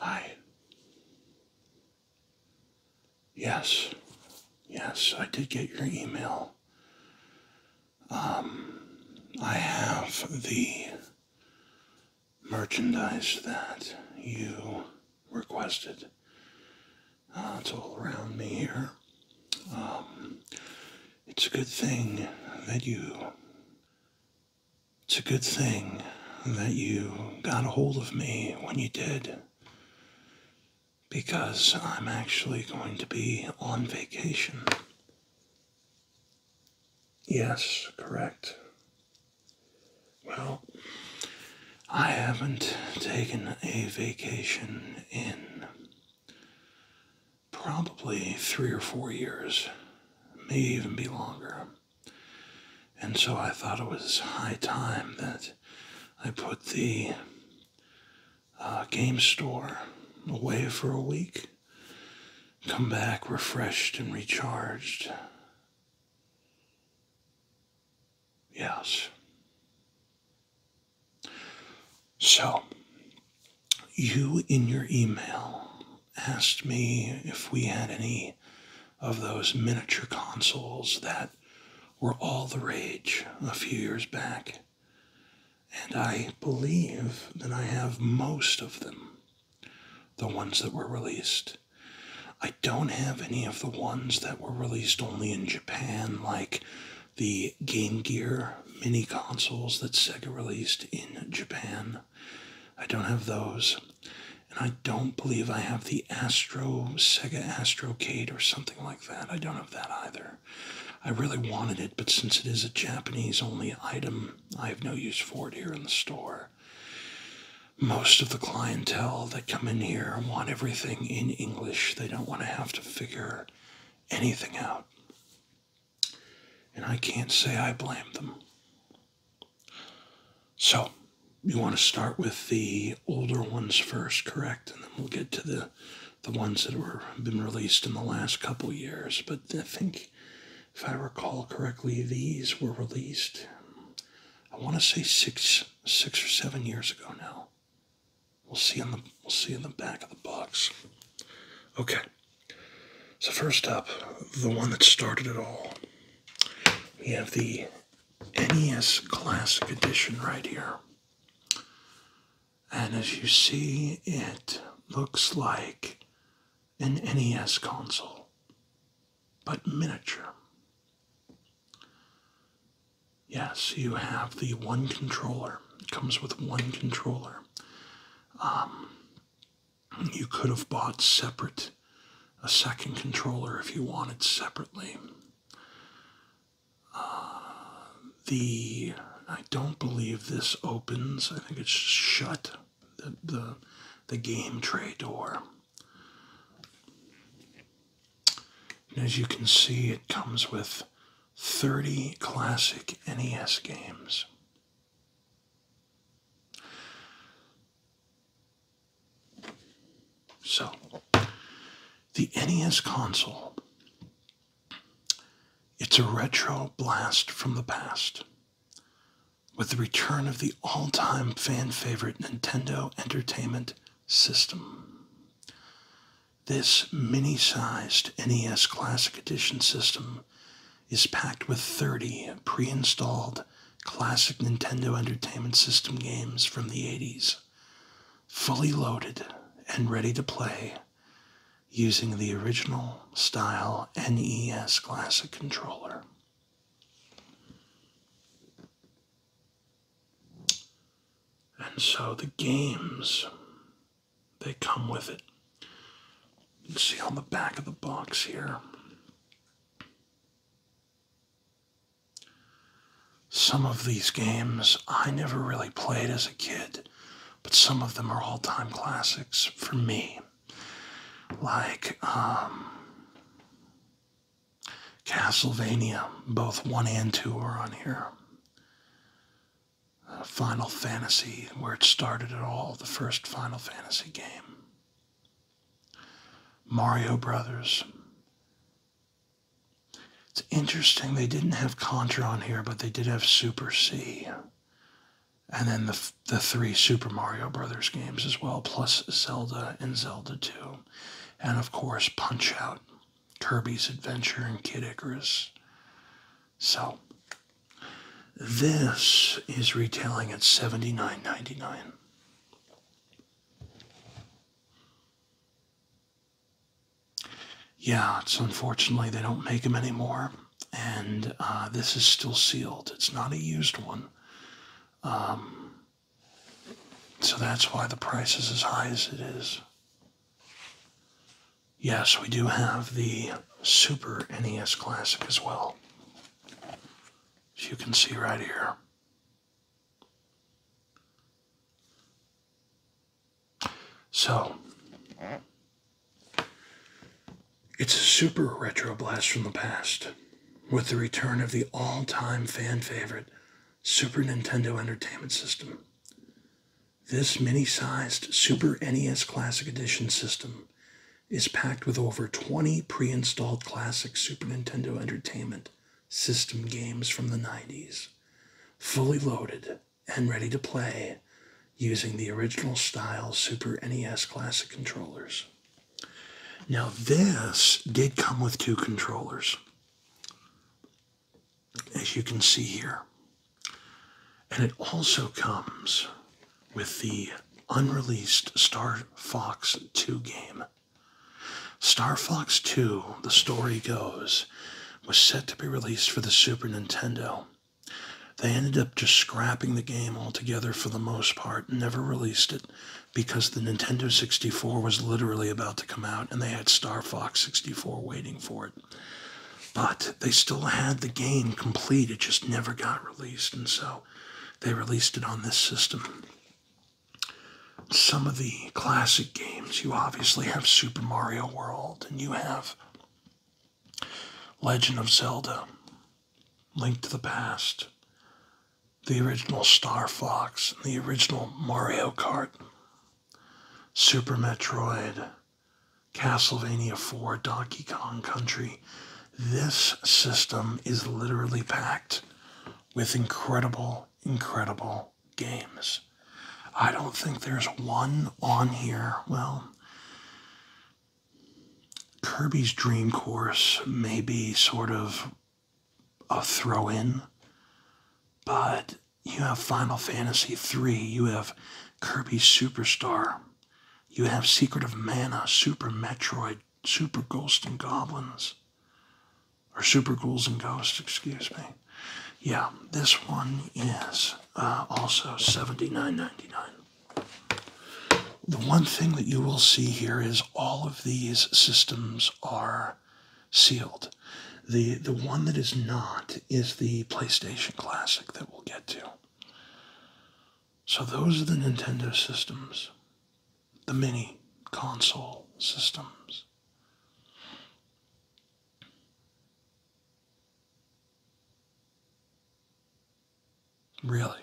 I. Yes. Yes, I did get your email. Um, I have the merchandise that you requested. it's uh, all around me here. Um, it's a good thing that you it's a good thing that you got a hold of me when you did. Because I'm actually going to be on vacation. Yes, correct. Well, I haven't taken a vacation in probably three or four years, maybe even be longer. And so I thought it was high time that I put the uh, game store away for a week, come back refreshed and recharged. Yes. So, you in your email asked me if we had any of those miniature consoles that were all the rage a few years back. And I believe that I have most of them, the ones that were released. I don't have any of the ones that were released only in Japan, like the Game Gear mini consoles that Sega released in Japan. I don't have those. And I don't believe I have the Astro, Sega Astrocade or something like that. I don't have that either. I really wanted it, but since it is a Japanese only item, I have no use for it here in the store. Most of the clientele that come in here want everything in English. They don't want to have to figure anything out. And I can't say I blame them. So, you want to start with the older ones first, correct? And then we'll get to the the ones that were been released in the last couple years. But I think, if I recall correctly, these were released. I want to say six six or seven years ago now. We'll see in the we'll see in the back of the box. Okay. So, first up, the one that started it all. We have the NES Classic Edition right here. And as you see, it looks like an NES console, but miniature. Yes, you have the one controller. It comes with one controller. Um, you could have bought separate a second controller if you wanted separately. Uh, the I don't believe this opens. I think it's shut the the, game tray door. as you can see, it comes with 30 classic NES games. So, the NES console, it's a retro blast from the past with the return of the all time fan favorite Nintendo Entertainment System. This mini sized NES Classic Edition system is packed with 30 pre installed classic Nintendo Entertainment System games from the 80s, fully loaded and ready to play using the original style NES Classic controller. And so the games they come with it. You see on the back of the box here. Some of these games I never really played as a kid, but some of them are all time classics for me. Like, um, Castlevania, both 1 and 2 are on here. Uh, Final Fantasy, where it started at all, the first Final Fantasy game. Mario Brothers. It's interesting they didn't have Contra on here, but they did have Super C. And then the, the three Super Mario Brothers games as well, plus Zelda and Zelda 2. And of course, Punch Out, Kirby's Adventure, and Kid Icarus. So, this is retailing at $79.99. Yeah, it's unfortunately they don't make them anymore, and uh, this is still sealed. It's not a used one. Um, so that's why the price is as high as it is. Yes, we do have the Super NES Classic as well. As you can see right here. So, it's a super retro blast from the past with the return of the all time fan favorite Super Nintendo Entertainment System. This mini sized Super NES Classic Edition system is packed with over 20 pre installed classic Super Nintendo Entertainment system games from the 90s, fully loaded and ready to play using the original style Super NES Classic controllers. Now, this did come with two controllers, as you can see here. And it also comes with the unreleased Star Fox 2 game. Star Fox 2, the story goes, was set to be released for the Super Nintendo. They ended up just scrapping the game altogether for the most part, never released it because the Nintendo 64 was literally about to come out and they had Star Fox 64 waiting for it. But they still had the game complete, it just never got released, and so they released it on this system. Some of the classic games, you obviously have Super Mario World, and you have Legend of Zelda, Link to the Past, the original Star Fox, and the original Mario Kart, Super Metroid, Castlevania 4, Donkey Kong Country. This system is literally packed with incredible, incredible games. I don't think there's one on here. Well, Kirby's Dream Course may be sort of a throw in, but you have Final Fantasy III. you have Kirby Superstar. You have Secret of Mana, Super Metroid, Super Ghost and Goblins. Or Super Ghouls and Ghosts, excuse me. Yeah, this one is uh, also 79.99. The one thing that you will see here is all of these systems are sealed. The, the one that is not is the PlayStation Classic that we'll get to. So, those are the Nintendo systems, the mini console systems. Really?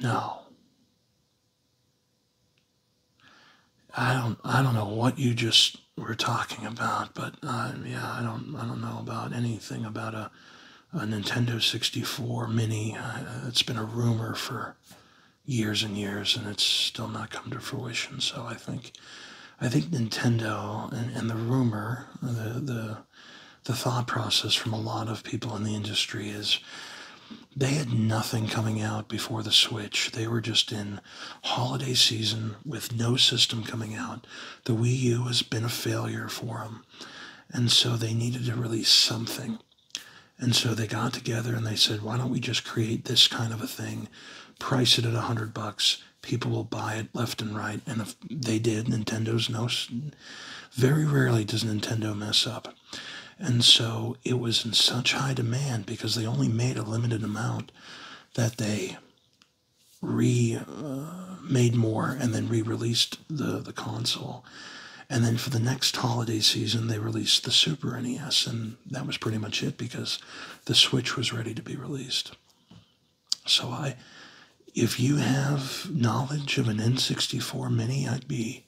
No. I don't I don't know what you just were talking about, but uh, yeah, I don't I don't know about anything about a a Nintendo 64 Mini. Uh, it's been a rumor for years and years, and it's still not come to fruition. So I think I think Nintendo and, and the rumor the the the thought process from a lot of people in the industry is they had nothing coming out before the Switch. They were just in holiday season with no system coming out. The Wii U has been a failure for them. And so they needed to release something. And so they got together and they said, why don't we just create this kind of a thing, price it at a 100 bucks, people will buy it left and right. And if they did, Nintendo's no, very rarely does Nintendo mess up. And so it was in such high demand because they only made a limited amount that they re uh, made more and then re-released the the console. And then for the next holiday season, they released the Super NES, and that was pretty much it because the Switch was ready to be released. So I, if you have knowledge of an N64 Mini, I'd be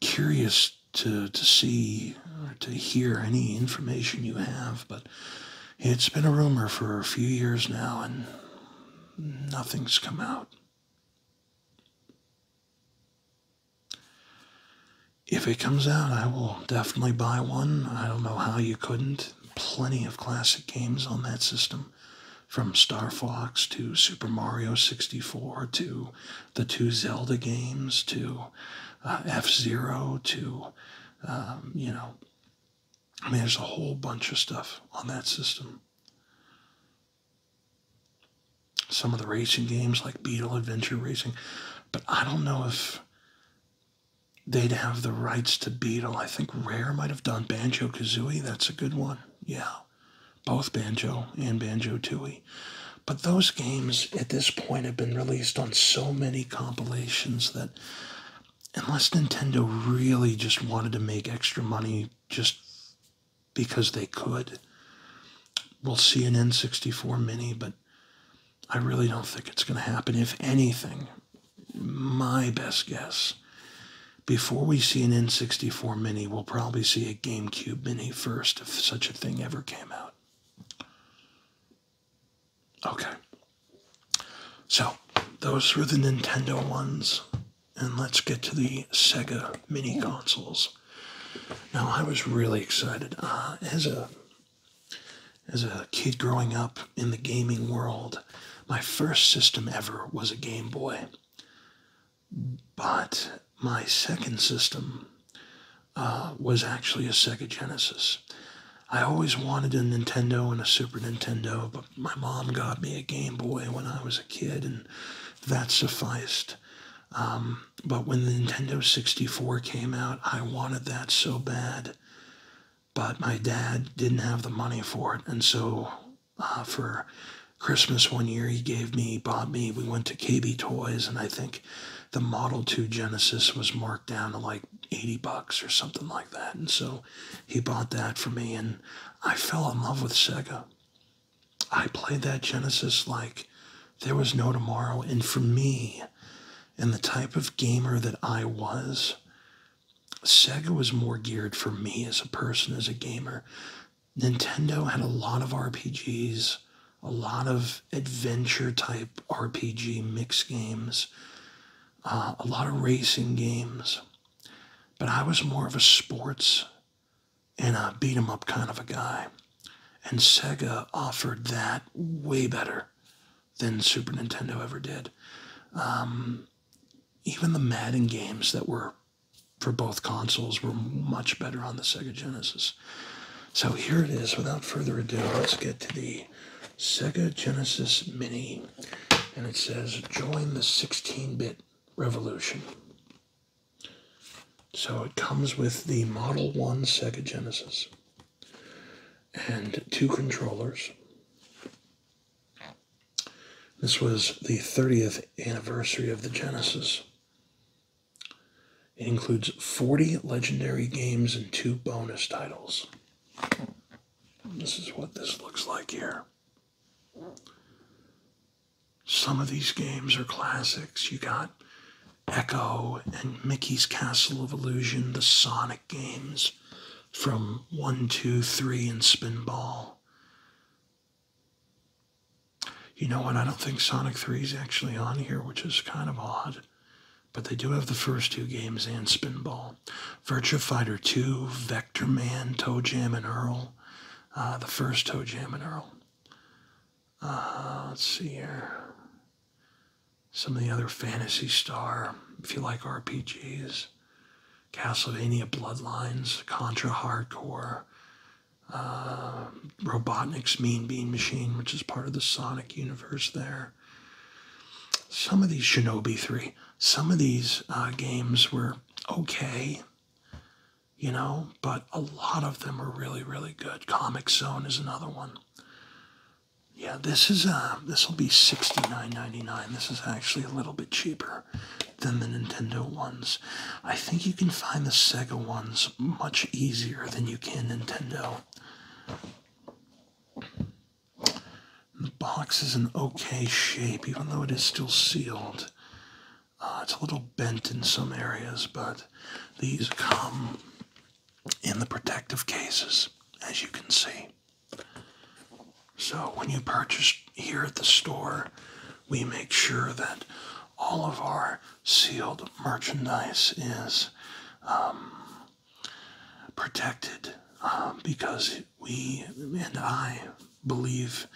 curious to, to see or to hear any information you have, but it's been a rumor for a few years now and nothing's come out. If it comes out, I will definitely buy one. I don't know how you couldn't. Plenty of classic games on that system, from Star Fox to Super Mario 64 to the two Zelda games, to uh, F Zero, to um, you know, I mean, there's a whole bunch of stuff on that system. Some of the racing games like Beetle Adventure Racing, but I don't know if they'd have the rights to Beetle. I think Rare might have done Banjo Kazooie. That's a good one. Yeah both Banjo and Banjo Tooie. But those games at this point have been released on so many compilations that unless Nintendo really just wanted to make extra money just because they could, we'll see an N64 Mini, but I really don't think it's going to happen. If anything, my best guess, before we see an N64 Mini, we'll probably see a GameCube Mini first if such a thing ever came out. Okay. So, those were the Nintendo ones. And let's get to the Sega mini consoles. Now, I was really excited. Uh, as a as a kid growing up in the gaming world, my first system ever was a Game Boy. But my second system uh, was actually a Sega Genesis. I always wanted a Nintendo and a Super Nintendo, but my mom got me a Game Boy when I was a kid, and that sufficed. Um, but when the Nintendo 64 came out, I wanted that so bad. But my dad didn't have the money for it, and so uh, for Christmas one year, he gave me, bought me. We went to KB Toys, and I think the Model 2 Genesis was marked down to like 80 bucks or something like that. And so he bought that for me, and I fell in love with Sega. I played that Genesis like there was no tomorrow. And for me, and the type of gamer that I was, Sega was more geared for me as a person, as a gamer, Nintendo had a lot of RPGs, a lot of adventure type RPG mix games, uh, a lot of racing games. But I was more of a sports and a beat 'em up kind of a guy. And Sega offered that way better than Super Nintendo ever did. Um, even the Madden games that were for both consoles were much better on the Sega Genesis. So here it is. Without further ado, let's get to the Sega Genesis Mini. And it says, join the 16-bit revolution. So it comes with the Model 1 Sega Genesis and two controllers. This was the 30th anniversary of the Genesis. It includes 40 legendary games and two bonus titles. This is what this looks like here. Some of these games are classics. You got Echo and Mickey's Castle of Illusion, the Sonic games from One, Two, Three, and Spinball. You know what? I don't think Sonic 3 is actually on here, which is kind of odd. But they do have the first two games and Spinball. Virtua Fighter 2, Vector Man, Toe and Earl. Uh, the first Toe and Earl. Uh, let's see here. Some of the other Fantasy Star, if you like RPGs. Castlevania Bloodlines, Contra Hardcore, uh, Robotnik's Mean Bean Machine, which is part of the Sonic universe there. Some of these Shinobi 3, some of these uh, games were okay, you know, but a lot of them were really, really good. Comic Zone is another one. Yeah, this is uh, this will be sixty nine ninety nine. This is actually a little bit cheaper than the Nintendo ones. I think you can find the Sega ones much easier than you can Nintendo. The box is in okay shape, even though it is still sealed. Uh, it's a little bent in some areas, but these come in the protective cases, as you can see. So when you purchase here at the store, we make sure that all of our sealed merchandise is um, protected um, because we and I believe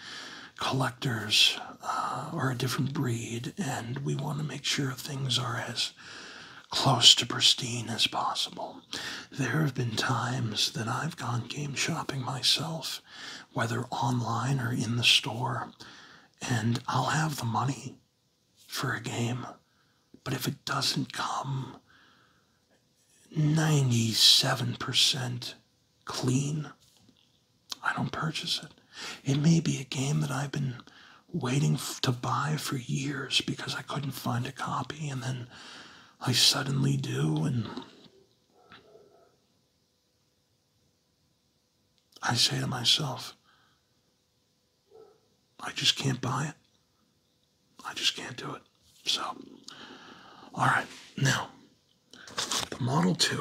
collectors uh, are a different breed and we want to make sure things are as close to pristine as possible. There have been times that I've gone game shopping myself whether online or in the store, and I'll have the money for a game. But if it doesn't come 97% clean, I don't purchase it. It may be a game that I've been waiting to buy for years because I couldn't find a copy, and then I suddenly do, and I say to myself, I just can't buy it. I just can't do it. So, all right. Now, the Model 2,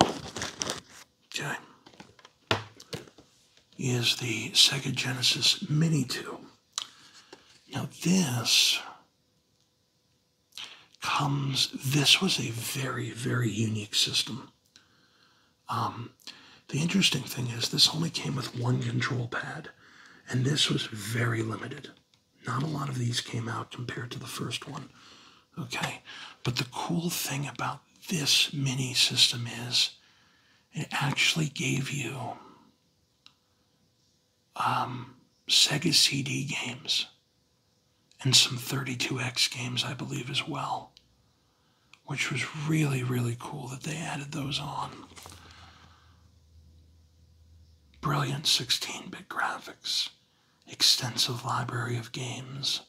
okay, is the Sega Genesis Mini 2. Now, this comes this was a very, very unique system. Um, the interesting thing is, this only came with one control pad, and this was very limited. Not a lot of these came out compared to the first one. Okay, but the cool thing about this mini system is it actually gave you um, Sega CD games and some 32X games, I believe, as well, which was really, really cool that they added those on. Brilliant 16 bit graphics, extensive library of games,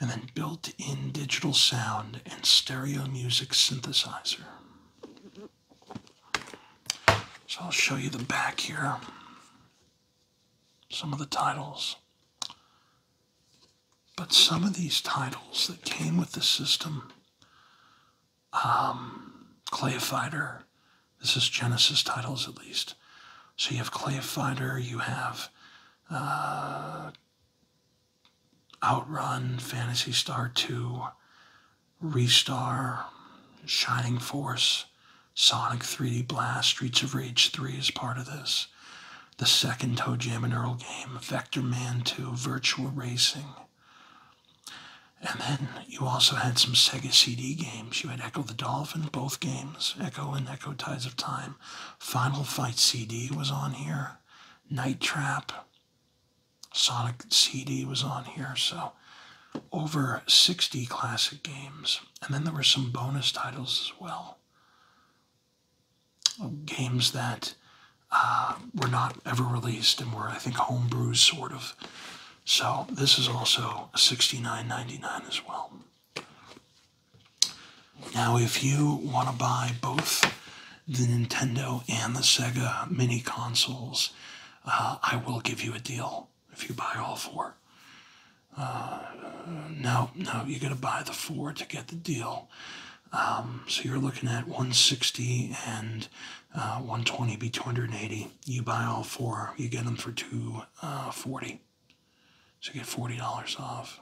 and then built in digital sound and stereo music synthesizer. So I'll show you the back here some of the titles. But some of these titles that came with the system, um, Clay Fighter, this is Genesis titles at least. So you have Clay Fighter, you have uh, Outrun, Fantasy Star 2, Restar, Shining Force, Sonic 3D Blast, Streets of Rage 3 is part of this. The second Toe and Earl game, Vector Man 2, Virtual Racing. And then you also had some Sega CD games. You had Echo the Dolphin, both games, Echo and Echo Tides of Time. Final Fight CD was on here, Night Trap, Sonic CD was on here. So over 60 classic games. And then there were some bonus titles as well. Games that uh, were not ever released and were, I think, homebrews, sort of. So this is also sixty nine ninety nine as well. Now, if you want to buy both the Nintendo and the Sega mini consoles, uh, I will give you a deal if you buy all four. Uh, no, no, you got to buy the four to get the deal. Um, so you're looking at 160 and uh, 120 be 280. You buy all four, you get them for 240. Uh, so you get $40 off.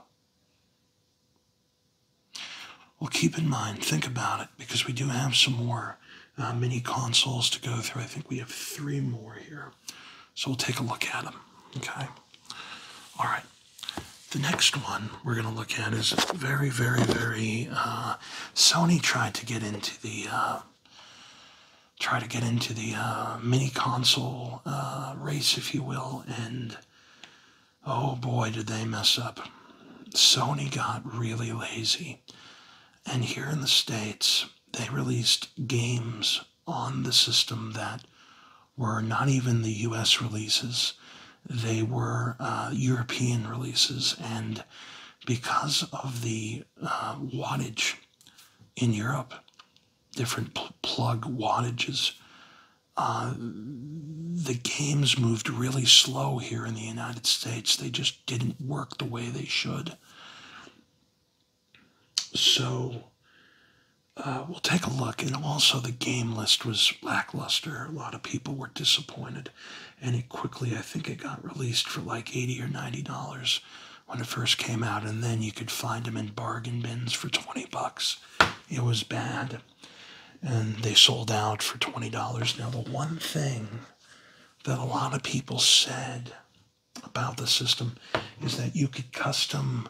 Well, keep in mind, think about it, because we do have some more mini consoles to go through. I think we have three more here. So we'll take a look at them. Okay. All right. The next one we're going to look at is very, very, very. Uh, Sony tried to get into the. Uh, try to get into the uh, mini console race, if you will, and oh boy, did they mess up. Sony got really lazy. And here in the States, they released games on the system that were not even the US releases, they were uh, European releases. And because of the uh, wattage in Europe, different plug wattages, uh, the games moved really slow here in the United States. They just didn't work the way they should. So uh, we'll take a look. And also, the game list was lackluster. A lot of people were disappointed. And it quickly, I think it got released for like 80 or $90 when it first came out. And then you could find them in bargain bins for 20 bucks. It was bad. And they sold out for $20. Now, the one thing that a lot of people said about the system is that you could custom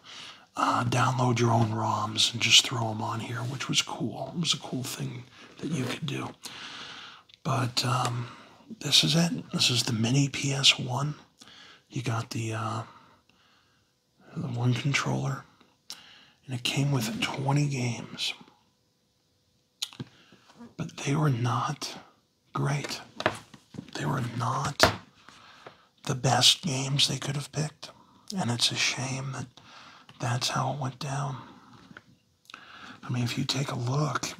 uh, download your own ROMs and just throw them on here, which was cool. It was a cool thing that you could do. But um, this is it. This is the mini PS1. You got the, uh, the one controller, and it came with 20 games. But they were not great. They were not the best games they could have picked. And it's a shame that that's how it went down. I mean, if you take a look,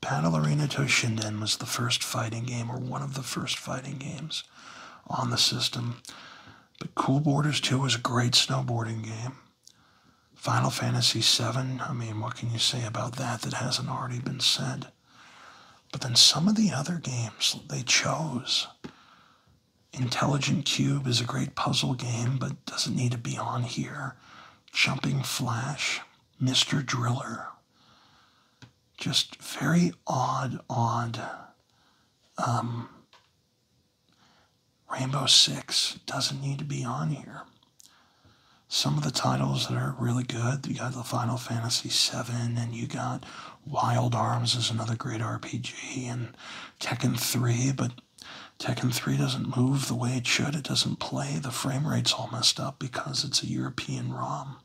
Battle Arena Toshinden was the first fighting game, or one of the first fighting games on the system. But Cool Borders 2 was a great snowboarding game. Final Fantasy VII, I mean, what can you say about that that hasn't already been said? But then some of the other games they chose. Intelligent Cube is a great puzzle game, but doesn't need to be on here. Jumping Flash, Mr. Driller. Just very odd, odd. Um, Rainbow Six doesn't need to be on here. Some of the titles that are really good, you got the Final Fantasy VII, and you got Wild Arms is another great RPG, and Tekken 3, but Tekken 3 doesn't move the way it should. It doesn't play. The frame rate's all messed up because it's a European ROM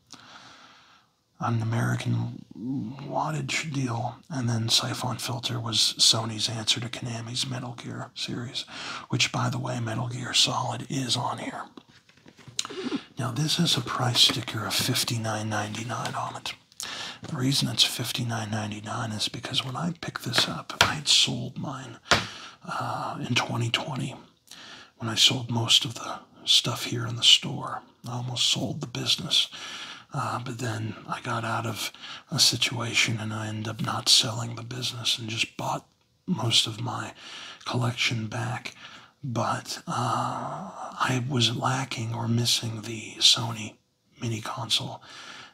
an American wattage deal. And then Siphon Filter was Sony's answer to Konami's Metal Gear series which, by the way, Metal Gear Solid is on here. Now, this is a price sticker of $59.99 on it. The reason it's $59.99 is because when I picked this up, I had sold mine uh, in 2020 when I sold most of the stuff here in the store. I almost sold the business. Uh, but then I got out of a situation and I ended up not selling the business and just bought most of my collection back, but uh, I was lacking or missing the Sony mini console,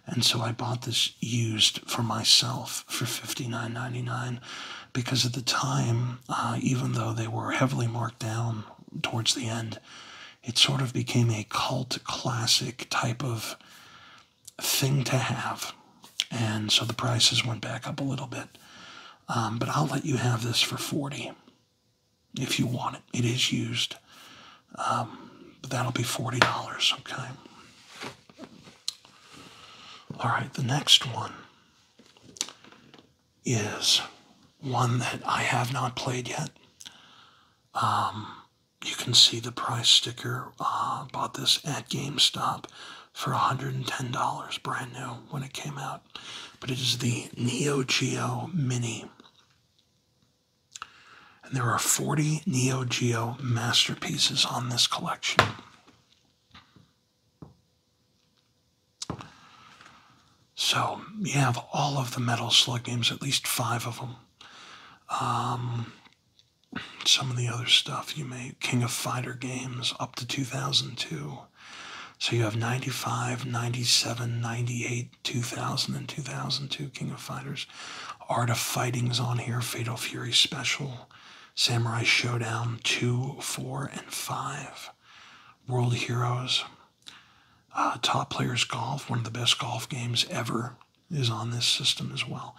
and so I bought this used for myself for $59.99 because at the time, uh, even though they were heavily marked down towards the end, it sort of became a cult classic type of thing to have. And so the prices went back up a little bit. Um, but I'll let you have this for 40 if you want it. It is used. Um, but that'll be $40, okay? All right, the next one is one that I have not played yet. Um, you can see the price sticker. Uh, bought this at GameStop for $110 brand new when it came out. But it is the Neo Geo Mini. And there are 40 Neo Geo masterpieces on this collection. So you have all of the Metal Slug games, at least five of them. Um, some of the other stuff you made, King of Fighter games up to 2002. So you have 95, 97, 98, 2000, and 2002 King of Fighters. Art of Fighting's on here, Fatal Fury Special, Samurai Showdown 2, 4, and 5, World Heroes, uh, Top Players Golf, one of the best golf games ever is on this system as well.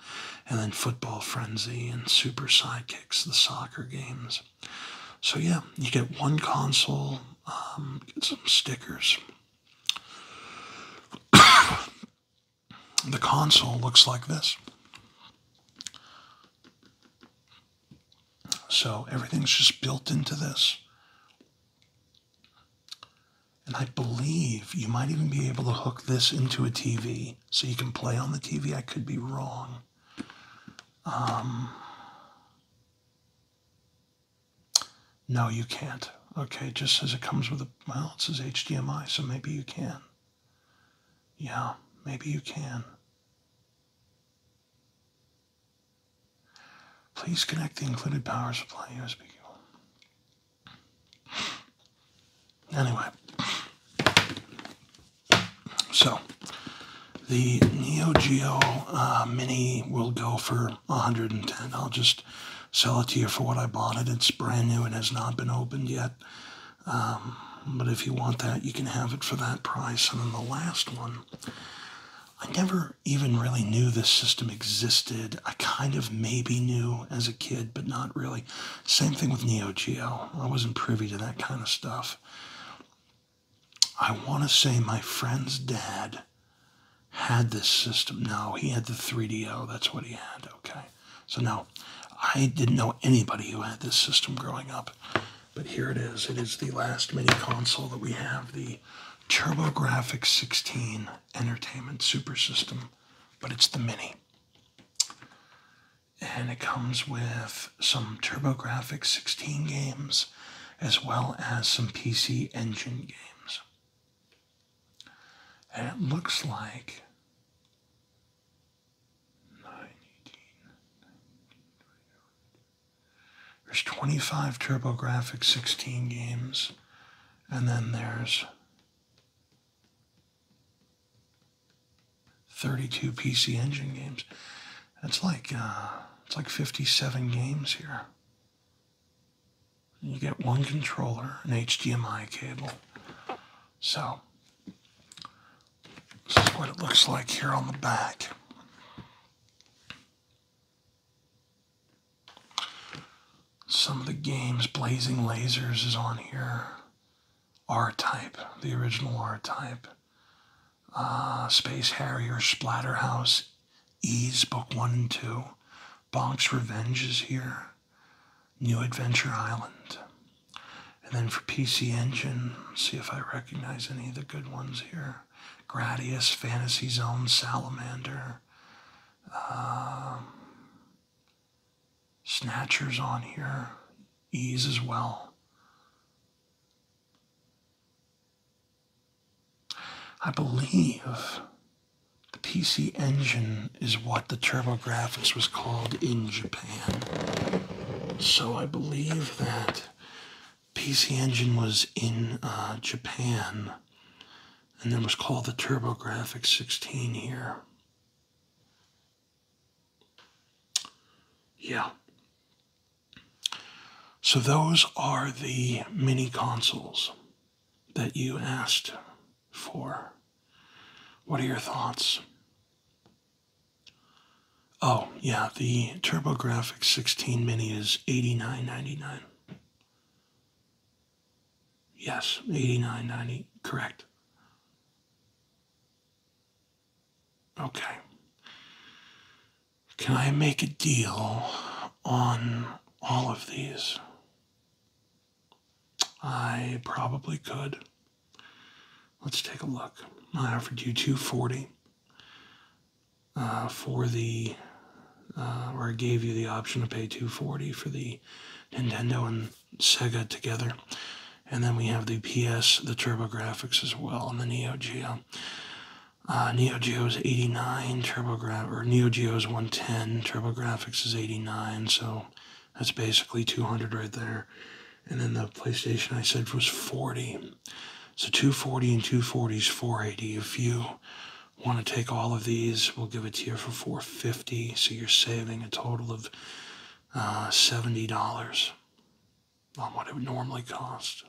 And then Football Frenzy and Super Sidekicks, the soccer games. So, yeah, you get one console, um, get some stickers. the console looks like this. So, everything's just built into this. And I believe you might even be able to hook this into a TV so you can play on the TV. I could be wrong. Um, no, you can't. Okay, just as it comes with a, well, it says HDMI, so maybe you can. Yeah, maybe you can. Please connect the included power supply USB cable. Anyway, so the Neo Geo uh, Mini will go for 110. I'll just sell it to you for what I bought it. It's brand new and has not been opened yet. Um, but if you want that, you can have it for that price. And then the last one, I never even really knew this system existed. I kind of maybe knew as a kid, but not really. Same thing with Neo Geo. I wasn't privy to that kind of stuff. I want to say my friend's dad had this system. No, he had the 3DO. That's what he had. Okay. So, now I didn't know anybody who had this system growing up. But here it is. It is the last mini console that we have the TurboGrafx 16 Entertainment Super System but it's the Mini. And it comes with some TurboGrafx 16 games as well as some PC Engine games. And it looks like there's 25 TurboGrafx 16 games, and then there's 32 PC Engine games. That's like uh, it's like 57 games here. You get one controller, an HDMI cable. So this is what it looks like here on the back. Some of the games, Blazing Lasers is on here. R Type, the original R Type. Uh, Space Harrier, Splatterhouse, Ease, Book 1 and 2. Bonk's Revenge is here. New Adventure Island. And then for PC Engine, see if I recognize any of the good ones here. Gradius, Fantasy Zone, Salamander, um, snatchers on here, ease as well. I believe the PC Engine is what the TurboGrafx was called in Japan. So I believe that PC Engine was in uh, Japan and that was called the TurboGrafx 16 here. Yeah. So those are the mini consoles that you asked for. What are your thoughts? Oh, yeah, the TurboGrafx 16 mini is eighty nine ninety nine. Yes, eighty nine ninety. correct. Okay. Can I make a deal on all of these? I probably could. Let's take a look. I offered you 240 uh, for the uh, or I gave you the option to pay 240 for the Nintendo and Sega together. And then we have the PS, the TurboGrafx as well, and the Neo Geo. Uh, Neo Geo is 89, TurboGrafx, or Neo Geo is 110, TurboGrafx is 89, so that's basically 200 right there. And then the PlayStation I said was 40. So 240 and 240 is 480 if you want to take all of these, we'll give it to you for 450 so you're saving a total of uh, $70 on what it would normally cost.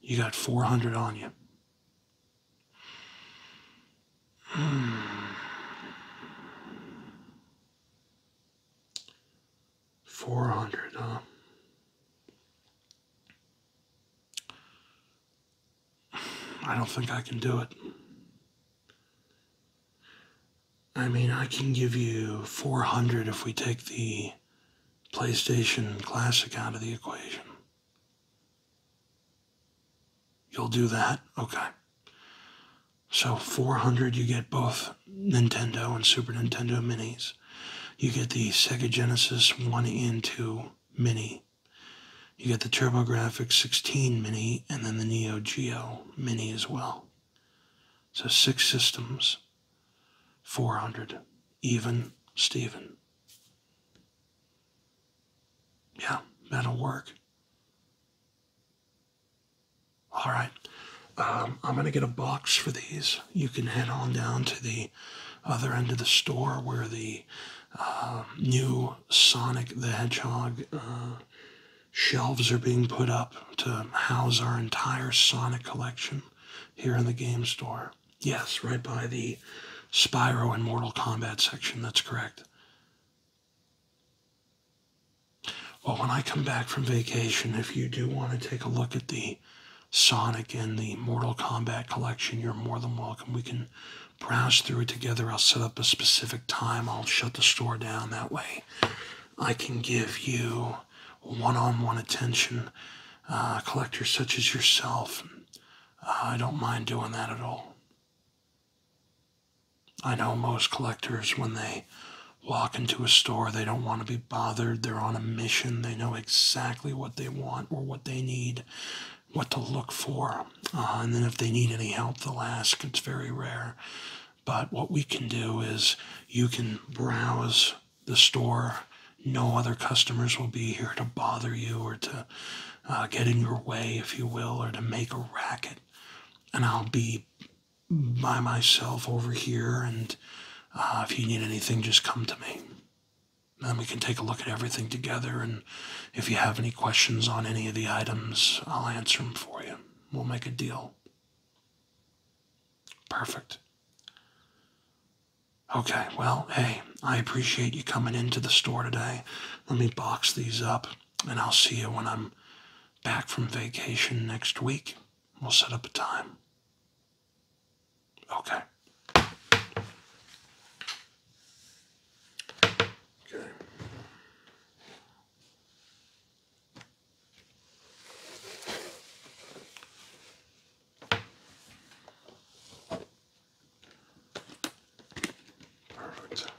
You got 400 on you. Hmm. 400, huh? I don't think I can do it. I mean, I can give you 400 if we take the PlayStation Classic out of the equation. You'll do that? Okay. So 400 you get both Nintendo and Super Nintendo minis. You get the Sega Genesis 1 and 2 Mini. You get the TurboGrafx 16 Mini and then the Neo Geo Mini as well. So six systems, 400, even Steven. Yeah, that'll work. All right. Um, I'm going to get a box for these. You can head on down to the other end of the store where the uh, new Sonic the Hedgehog uh, shelves are being put up to house our entire Sonic collection here in the game store. Yes, right by the Spyro and Mortal Kombat section, that's correct. Well, when I come back from vacation, if you do want to take a look at the Sonic and the Mortal Kombat collection, you're more than welcome. We can browse through it together. I'll set up a specific time. I'll shut the store down. That way, I can give you one on one attention. Uh, collectors such as yourself, uh, I don't mind doing that at all. I know most collectors, when they walk into a store, they don't want to be bothered. They're on a mission. They know exactly what they want or what they need, what to look for. Uh, and then if they need any help, they'll ask. It's very rare. But what we can do is you can browse the store. No other customers will be here to bother you or to uh, get in your way, if you will, or to make a racket. And I'll be by myself over here. And uh, if you need anything, just come to me. Then we can take a look at everything together. And if you have any questions on any of the items, I'll answer them for you. We'll make a deal. Perfect. Okay, well, hey, I appreciate you coming into the store today. Let me box these up, and I'll see you when I'm back from vacation next week. We'll set up a time. Okay. Okay. Perfect.